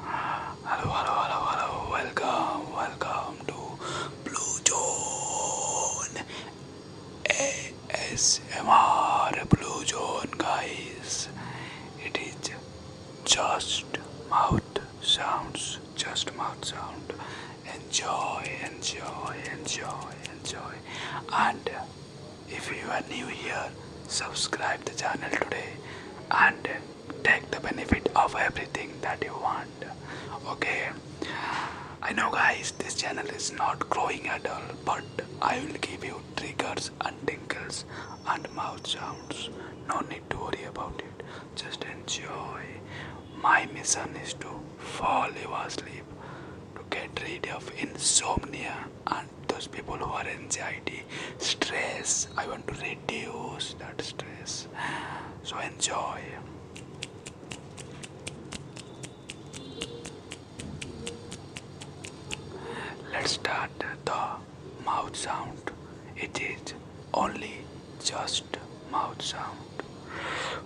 Hello, hello, hello, hello. Welcome, welcome to Blue Zone ASMR Blue Zone, guys. It is just mouth sounds, just mouth sound. Enjoy, enjoy, enjoy, enjoy, and if you are new here, subscribe the channel today and take the benefit of everything that you want. Okay. I know guys this channel is not growing at all but I will give you triggers and tinkles and mouth sounds. No need to worry about it. Just enjoy. My mission is to fall you asleep to get rid of insomnia and those people who are anxiety, stress. I want to reduce that stress. So enjoy. Let's start the mouth sound. It is only just mouth sound.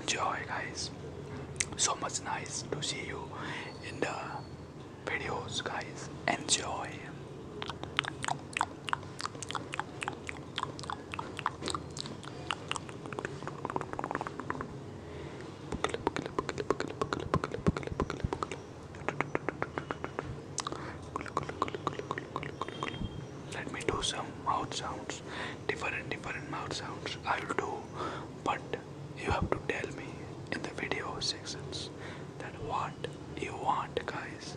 Enjoy, guys. So much nice to see you in the videos, guys. Enjoy. Let me do some mouth sounds, different different mouth sounds. I'll do, but you have to tell me in the video sections that what you want, guys.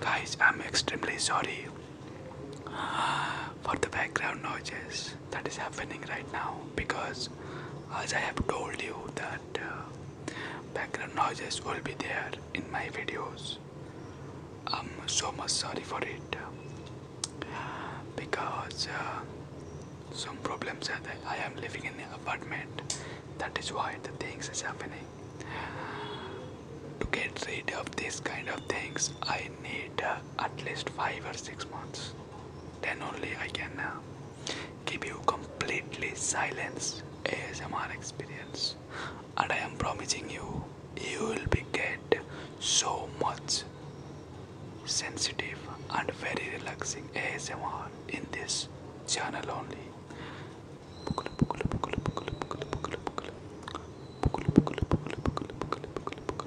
Guys, I'm extremely sorry. Ah for the background noises that is happening right now because as I have told you that uh, background noises will be there in my videos. I'm so much sorry for it uh, because uh, some problems are there. I am living in an apartment that is why the things is happening. To get rid of these kind of things I need at least 5 or 6 months then only I can give you completely silence ASMR experience and I am promising you you will be get so much sensitive and very relaxing ASMR in this channel only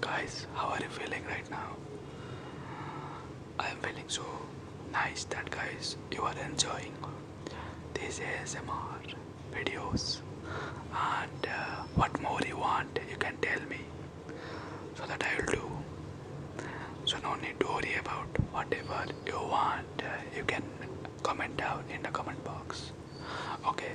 guys, how are you feeling right now? I am feeling so nice that guys you are enjoying these ASMR videos and uh, what more you want you can tell me so that I will do so no need to worry about whatever you want you can comment down in the comment box okay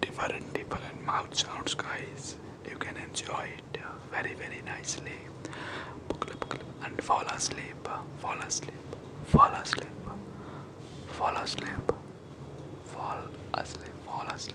different different mouth sounds guys you can enjoy it very very nicely and fall asleep fall asleep fall asleep fall asleep fall asleep fall asleep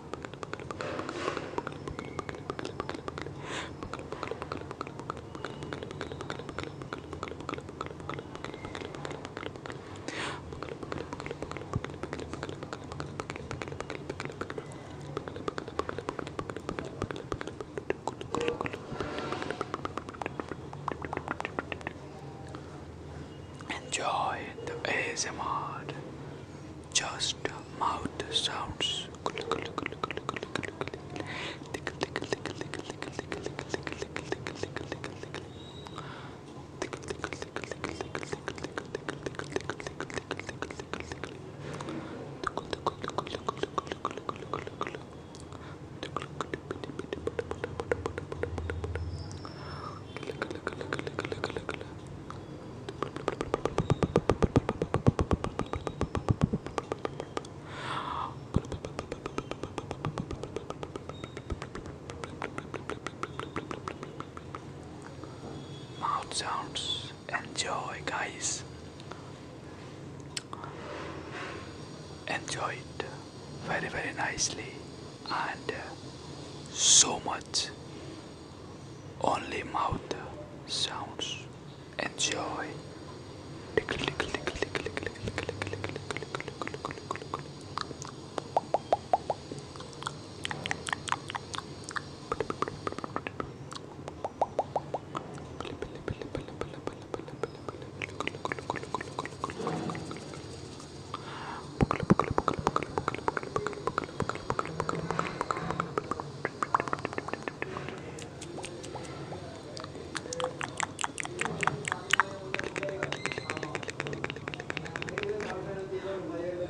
Enjoy the ASMR just mouth sounds. Mouth sounds. Enjoy, guys. Enjoy it very, very nicely and uh, so much. Only mouth sounds. Enjoy.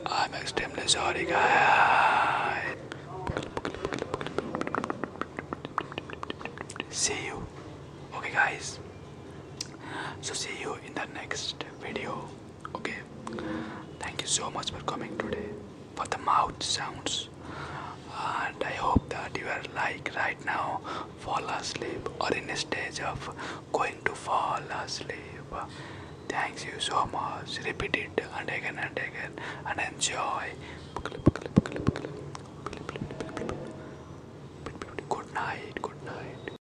I'm extremely sorry, guys. See you. Okay, guys. So, see you in the next video. Okay, thank you so much for coming today for the mouth sounds. And I hope that you are like right now, fall asleep or in a stage of going to fall asleep. Thanks you so much. Repeat it and again and again and enjoy. Good night. Good night.